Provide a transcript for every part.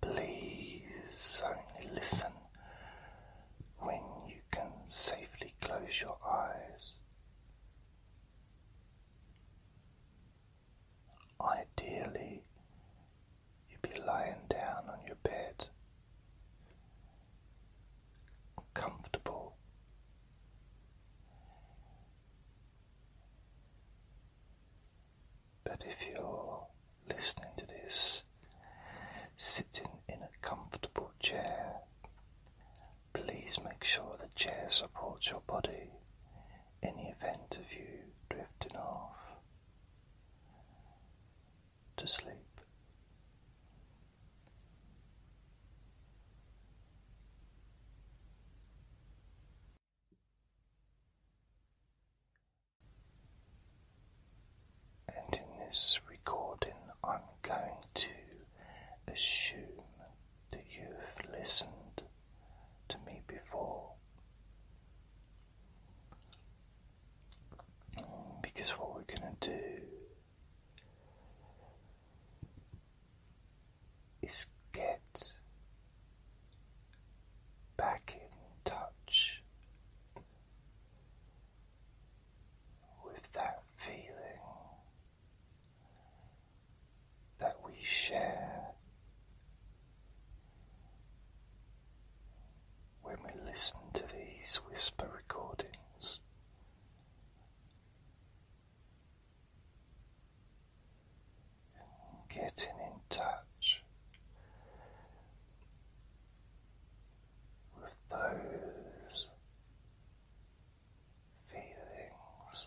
Please only listen when you can safely close your eyes. Ideally, you'd be lying down on your bed, comfortable. But if you're listening to this, sitting in a comfortable chair, please make sure the chair supports your body in the event of you drifting off to sleep. And in this recording, I'm going to assume that you've listened to me before. Because what we're going to do is get back in touch with that feeling that we share when we listen to these whisper recordings getting in touch with those feelings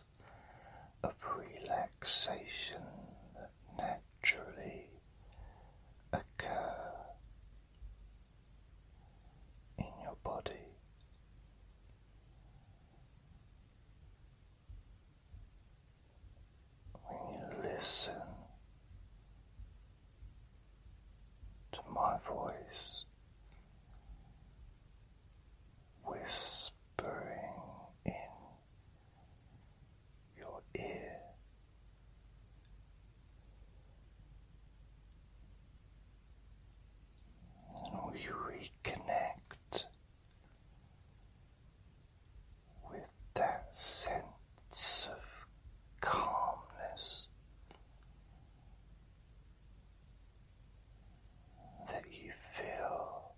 of relaxation that naturally occur in your body when you listen to my voice whispering in your ear. And will you reconnect with that sense of calmness that you feel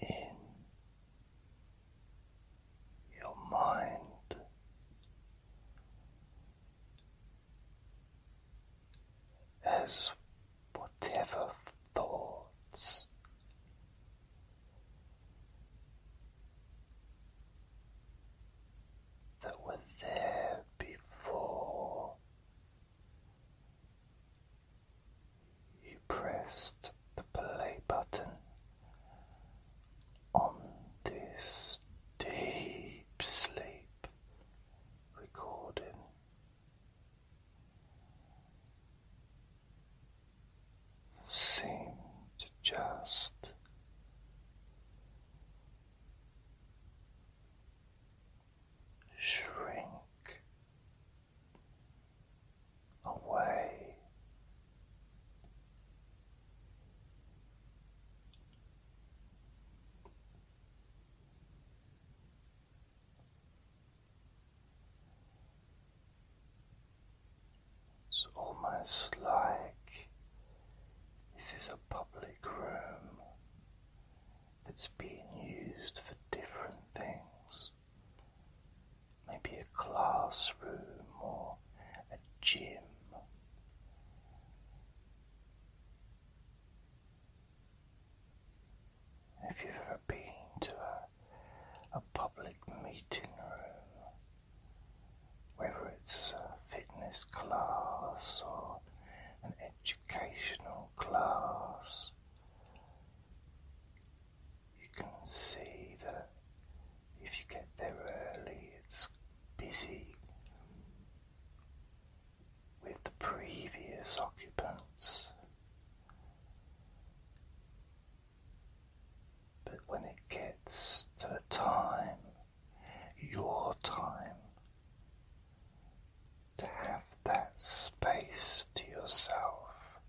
in your mind as whatever thoughts that were there before you pressed the play button on this deep sleep recording seem to just shrink away. It's almost like this is a public room that's being used for different things. Maybe a classroom or a gym. If you've ever been to a, a public meeting room, whether it's a fitness class or an educational class, you can see that if you get there early, it's busy, with the previous occupants. But when it gets to a time, your time, to have that space to yourself,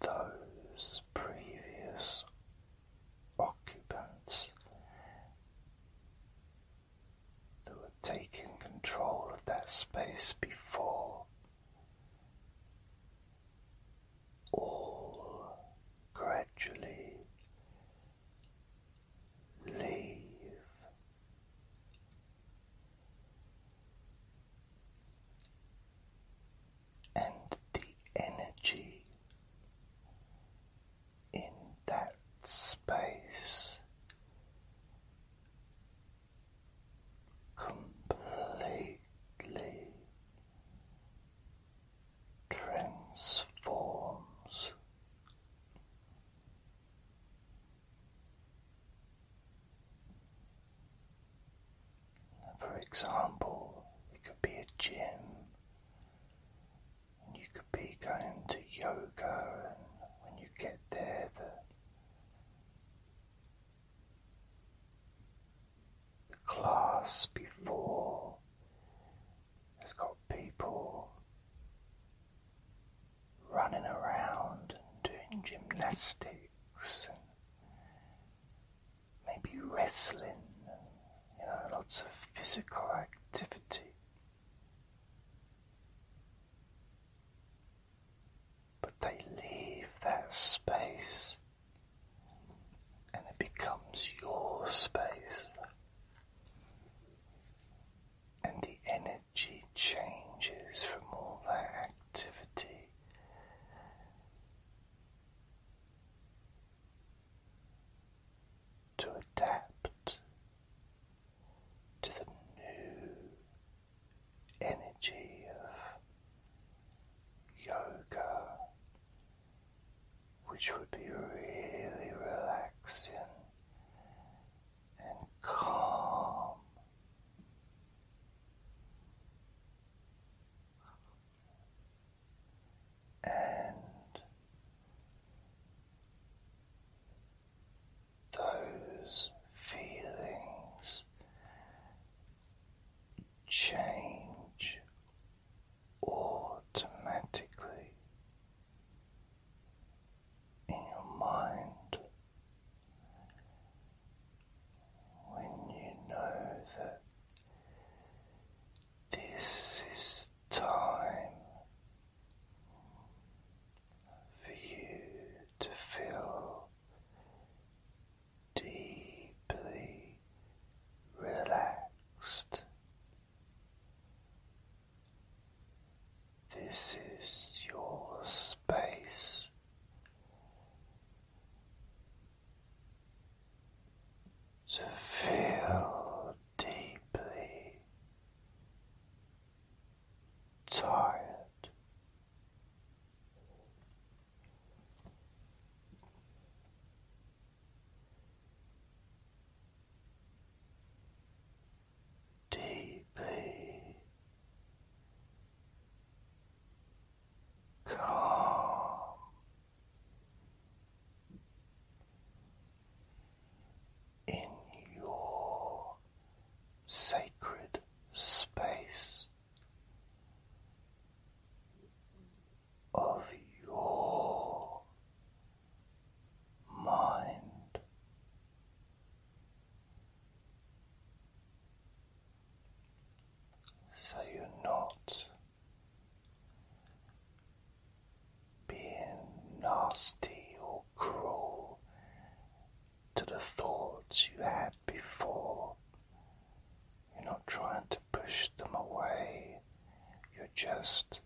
those previous occupants who were taking control of that space before all gradually leave. And the energy in that space completely transforms. For example, it could be a gym and you could be going to yoga and when you get there the class before has got people running around and doing gymnastics maybe wrestling and you know lots of physical activity. But they leave that space and it becomes your space. And the energy changes from all that activity to adapt to the new energy of yoga, which would be really relaxing and calm and those feelings change automatically in your mind when you know that this is time for you to feel deeply relaxed. This is your space to feel deeply tired. Deeply calm in your sacred space of your mind. So you're not being nasty or cruel to the thoughts you had before. You're not trying to push them away, you're just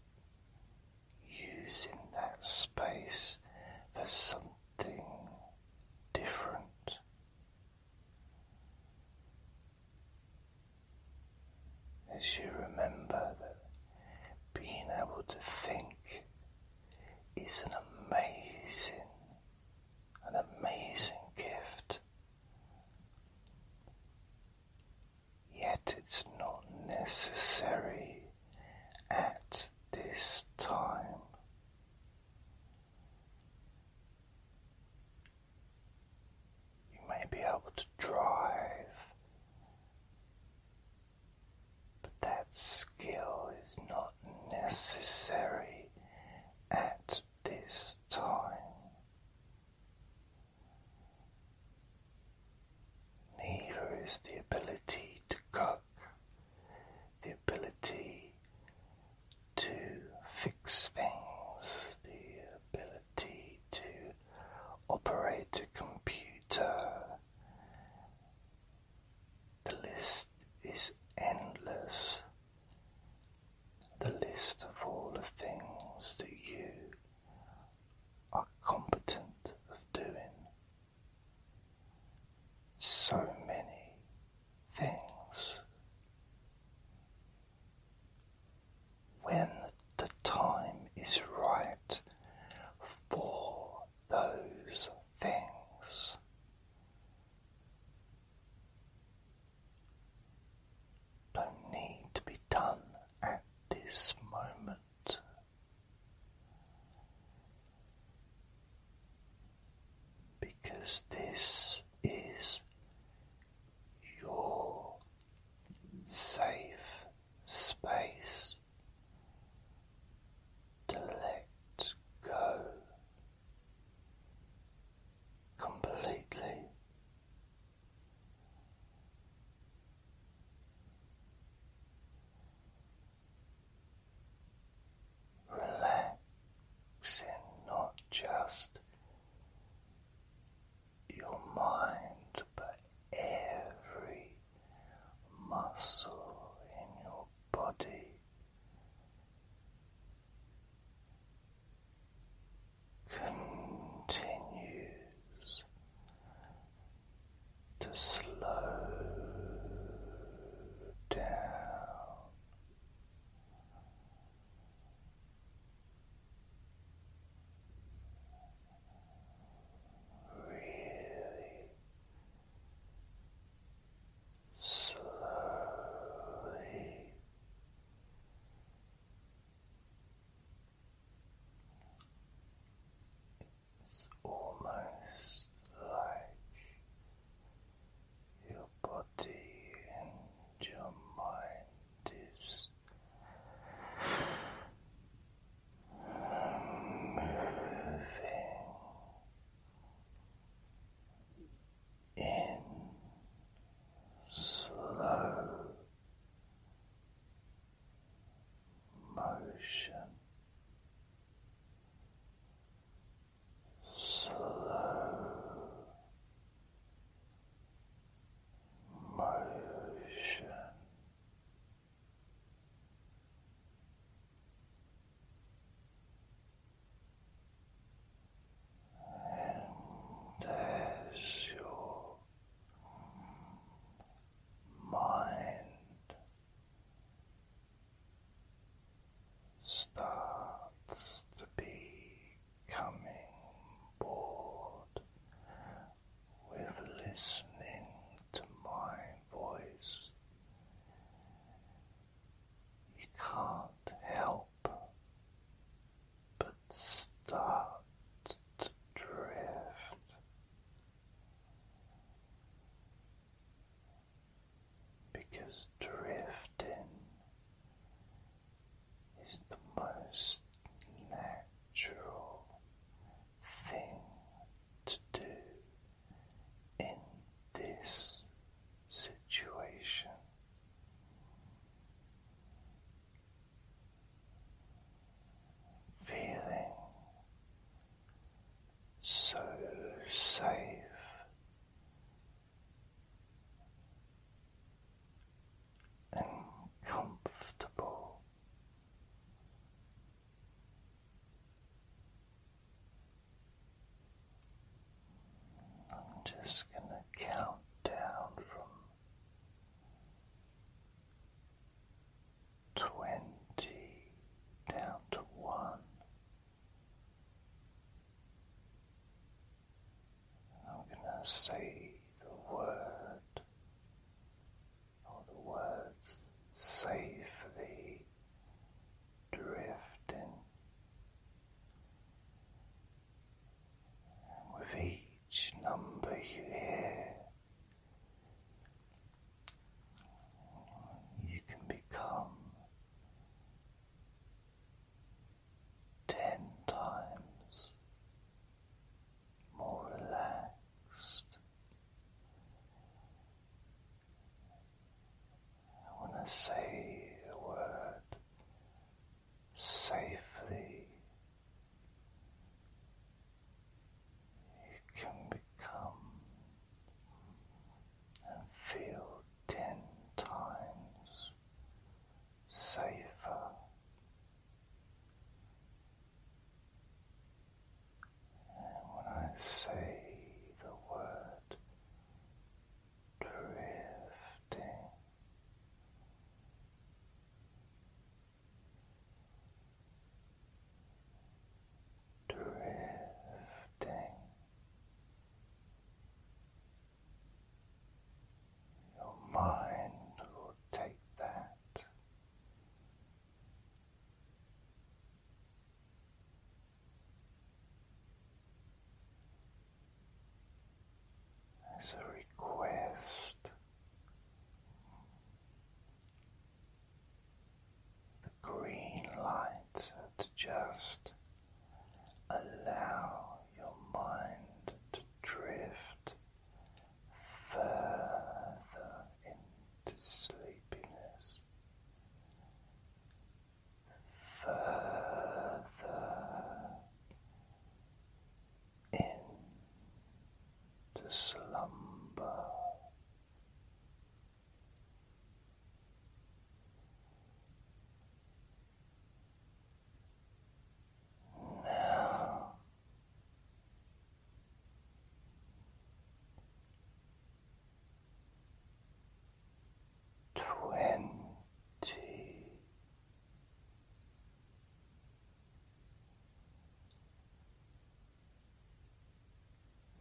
using that space for something different. As you remember that being able to think is an amazing, an amazing gift. Yet it's not necessary at this time. You may be able to drive, but that skill is not necessary at this time. Neither is the ability to cook, the ability to fix things, the to operate a computer. The list is endless. The list of all the things that you are competent of doing. So many things when the time is right for those things. Don't need to be done at this moment. Because this is your safe space to let go completely. Relaxing not just your mind, but every muscle in your body. Continues to slow down really slowly it's almost like your body and your mind is moving in slow motion. Slow motion. And as your mind starts to be coming board with listening to my voice. You can't help but start to drift. Because drifting is the most natural thing to do in this situation. Feeling so safe and I'm just going to count down from twenty down to one. I'm going to say the word or the words safely drifting. And with each number you hear, you can become ten times more relaxed. When I say the word safely, you can become and feel ten times safer. And when I say the word drifting, drifting. Your mind will take that. As a request the green light to just allow your mind to drift further into sleepiness, further into slumber. Now, twenty.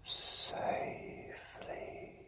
Safely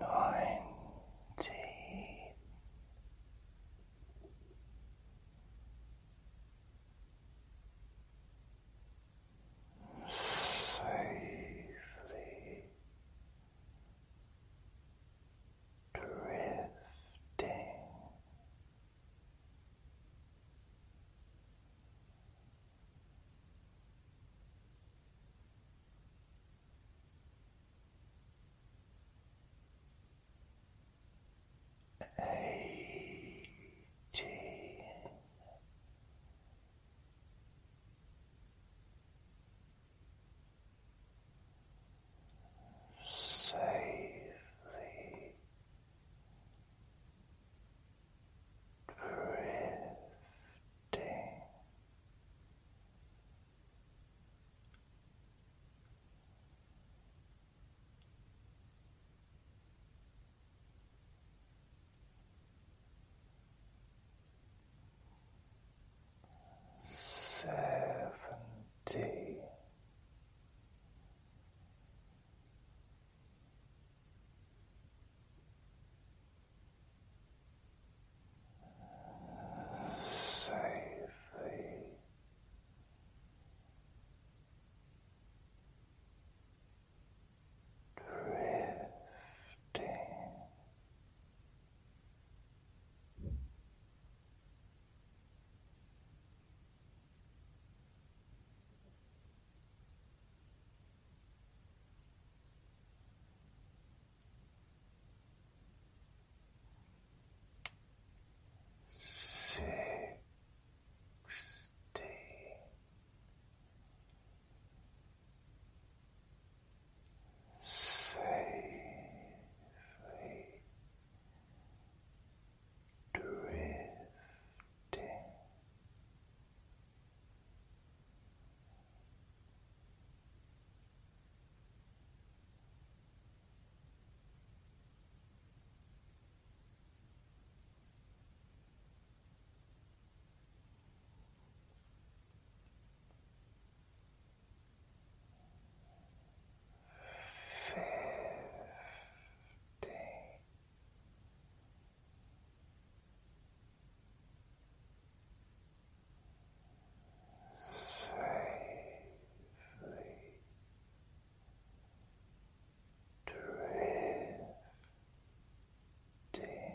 ninety safely drifting Eighteen. Safely drifting seventy safely. Drifting Sixty safely drift Fifty safely drifting.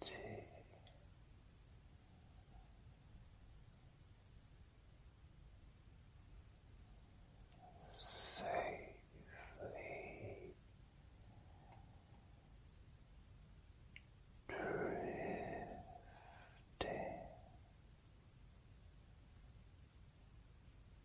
thirty. Safely drifting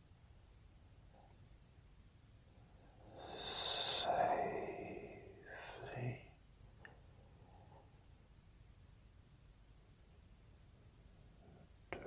safely. Drifting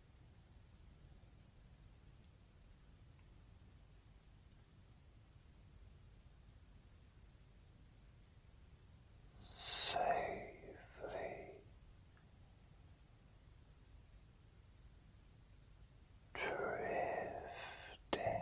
safely drifting.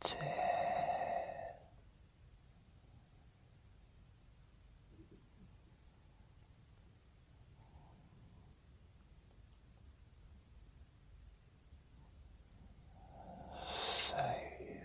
Ten. Safely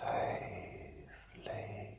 Nine. Safely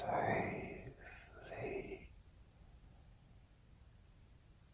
Safely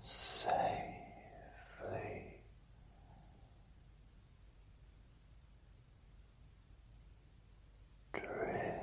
Safely drifting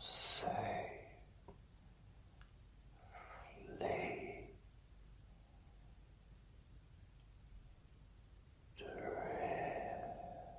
Say, flee drifting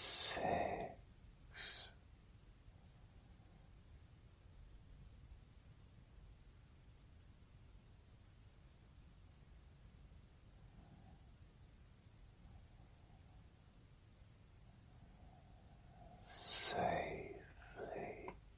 six. Safely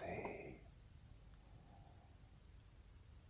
Safety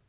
safely.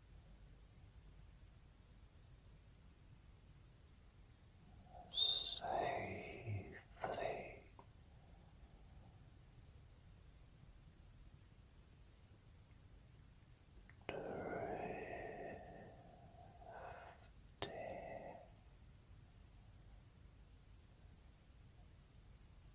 safely. Drifting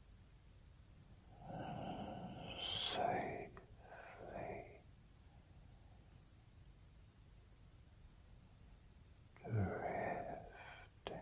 safely. Drifting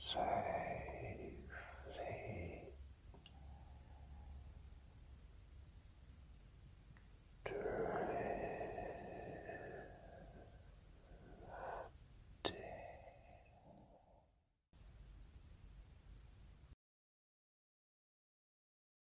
safely drifting.